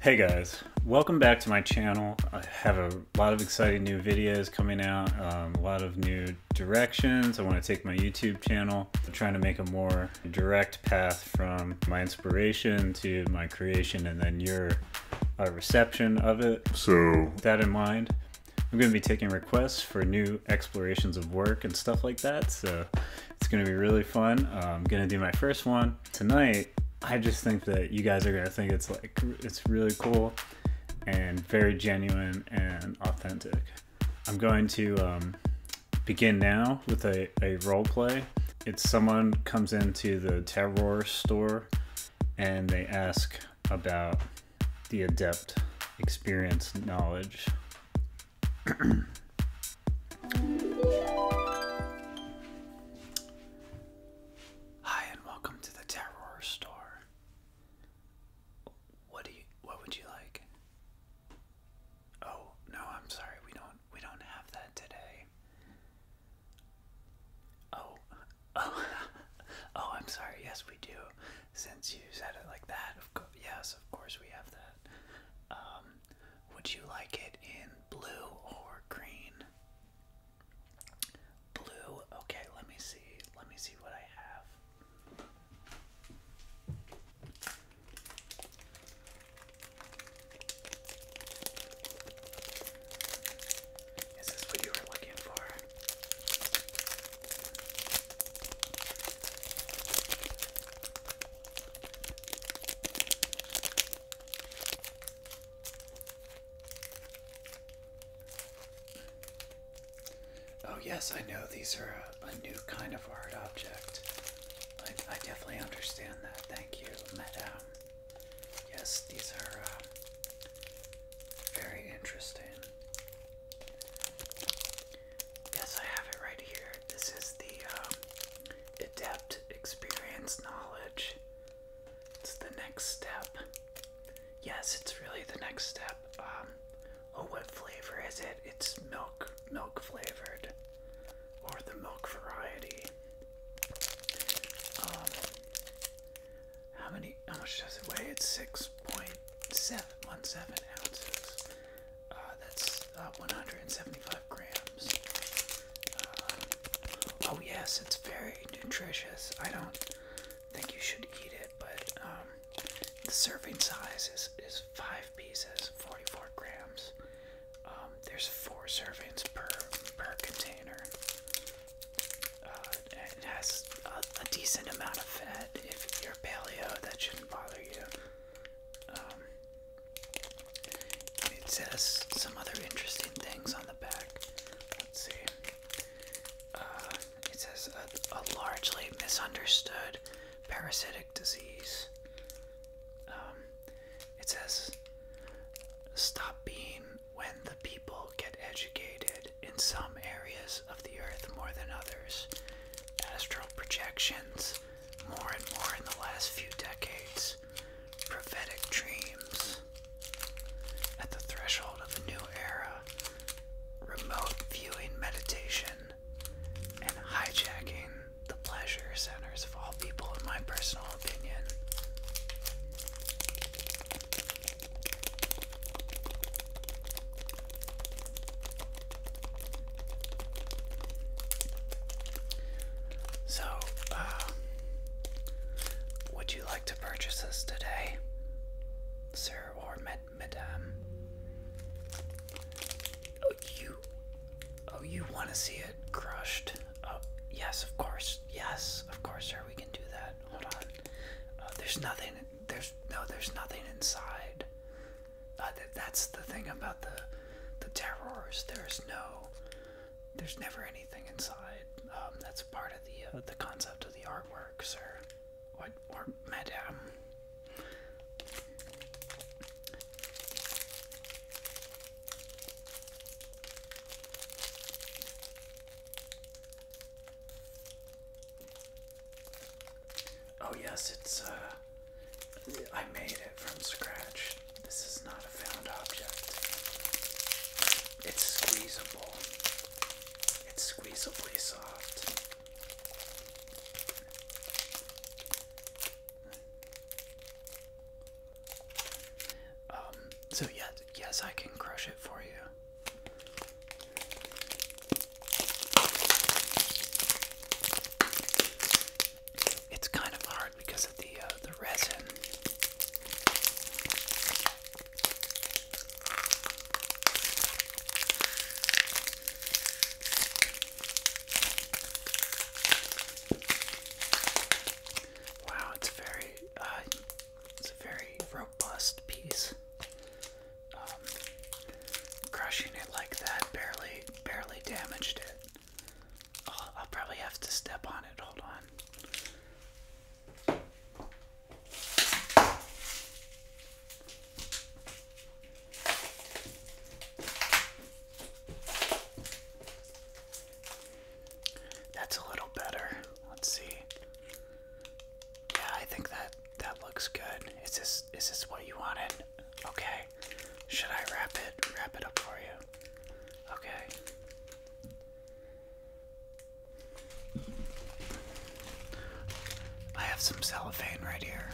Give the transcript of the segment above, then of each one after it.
Hey guys, welcome back to my channel. I have a lot of exciting new videos coming out, um, a lot of new directions. I want to take my YouTube channel, I'm trying to make a more direct path from my inspiration to my creation and then your uh, reception of it. So, with that in mind, I'm going to be taking requests for new explorations of work and stuff like that. So it's going to be really fun. I'm going to do my first one tonight. I just think that you guys are going to think it's like, it's really cool and very genuine and authentic. I'm going to um, begin now with a, a role play. It's someone comes into the terror store and they ask about the adept experience knowledge. Hi and welcome to the Terror Store. What do you what would you like? Oh, no, I'm sorry. We don't we don't have that today. Oh. Oh. oh, I'm sorry. Yes, we do. Since you said it like that, of course. yes, of course we have that. Um, would you like it in blue or green? Blue. Okay, let me see. Let me see what I have. Is this what you were looking for? Oh, yes, I know these are a, new kind of art object. I, definitely understand that. Thank you, madam. Yes, these are uh, very interesting. Yes, I have it right here. This is the um, Adept Experience Knowledge. It's the next step. Yes, it's really the next step. Um, oh, what flavor is it? It's milk, milk flavored, or the milk variety. Um, how many? How much does it weigh? It's six point seven one seven ounces. Uh, that's uh, one hundred and seventy-five grams. Uh, oh yes, it's very nutritious. I don't think you should eat it, but um, the serving size is five pieces, forty-four grams. Um, there's four servings per per container. Uh, it has a, decent amount of fat. If you're paleo, that shouldn't bother you. Um, it says some other interesting things on the back. Let's see. Uh, it says a, largely misunderstood parasitic disease. Um, it says stop being when the people get educated in some areas of the earth more than others, astral projections, more and more in the last few decades, prophetic dreams, at the threshold of a new era, remote viewing meditation, and hijacking the pleasure centers of all people in my personal so, uh, would you like to purchase this today, sir or madam? Oh, you, oh, you want to see crushed. yes, of course. Yes, of course, sir. We can do that. Hold on. Uh, there's nothing. There's no. There's nothing inside. Uh, that's the thing about the the terrors. There's no. There's never anything inside. Um, that's part of the uh, the concept of the artwork, sir. What or madam? Oh, yes, it's uh, I made it from scratch. This is not a found object, it's squeezable, it's squeezably soft. Um, so yes, yes, I can crush it for you. It's kind of hard because of the uh, the resin. Wow, it's very, uh, it's a very robust piece. Um, crushing it like that barely, barely damaged it. I'll probably have to step on it. Hold on. That's a little better. Let's see. Yeah, I think that that looks good. Is this is this what you wanted? Okay. Should I wrap it wrap it up for you? Okay. I have some cellophane right here.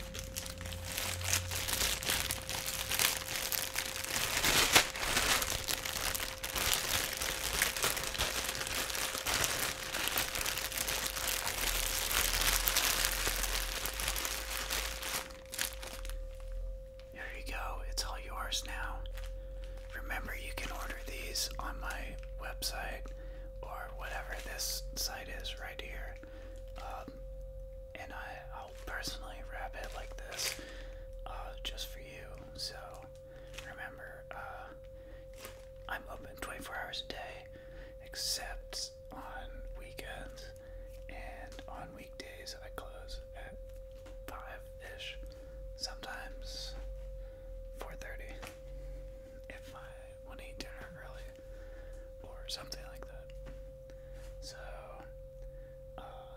Here you go, it's all yours now. Remember, you can order these on my website or whatever this site is right here. Um, and I, will personally wrap it like this uh, just for you. So remember, uh, I'm open 24 hours a day except on weekends. And on weekdays, I close at 5 ish, sometimes 4.30 if I want to eat dinner early, or something like that. So, uh,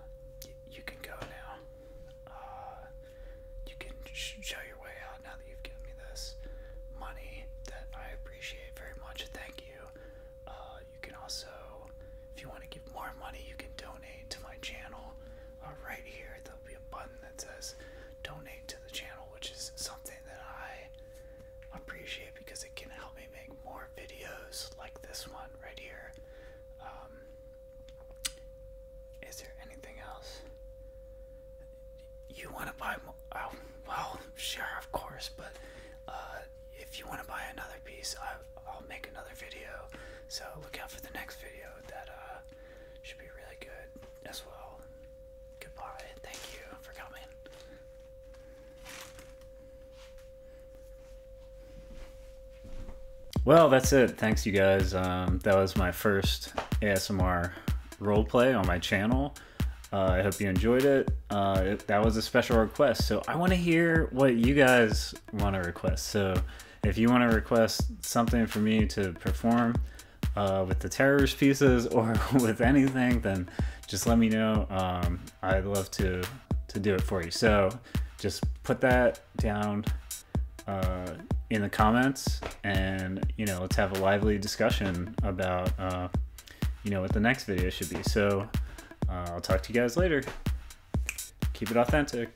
you can go now. Uh, you can show your way out now that you've given me this money that I appreciate very much. Thank you. Uh, you can also, if you want to give more money, you can donate to my channel right here. There'll be a button that says donate to the channel, which is something that I appreciate because it can help me make more videos like this one right here. Um, there anything else? You want to buy Oh, well, sure, of course, but uh, if you want to buy another piece, I, will make another video. So look out for the next video that uh, should be really good as well. Goodbye. Thank you for coming. Well, that's it. Thanks, you guys. Um, that was my first ASMR roleplay on my channel. Uh, I hope you enjoyed uh, it. That was a special request. So I want to hear what you guys want to request. So if you want to request something for me to perform uh, with the terrorist pieces or with anything, then just let me know. Um, I'd love to to do it for you. So just put that down uh, in the comments, and you know, let's have a lively discussion about uh, you know what the next video should be. So I'll talk to you guys later. Keep it authentic.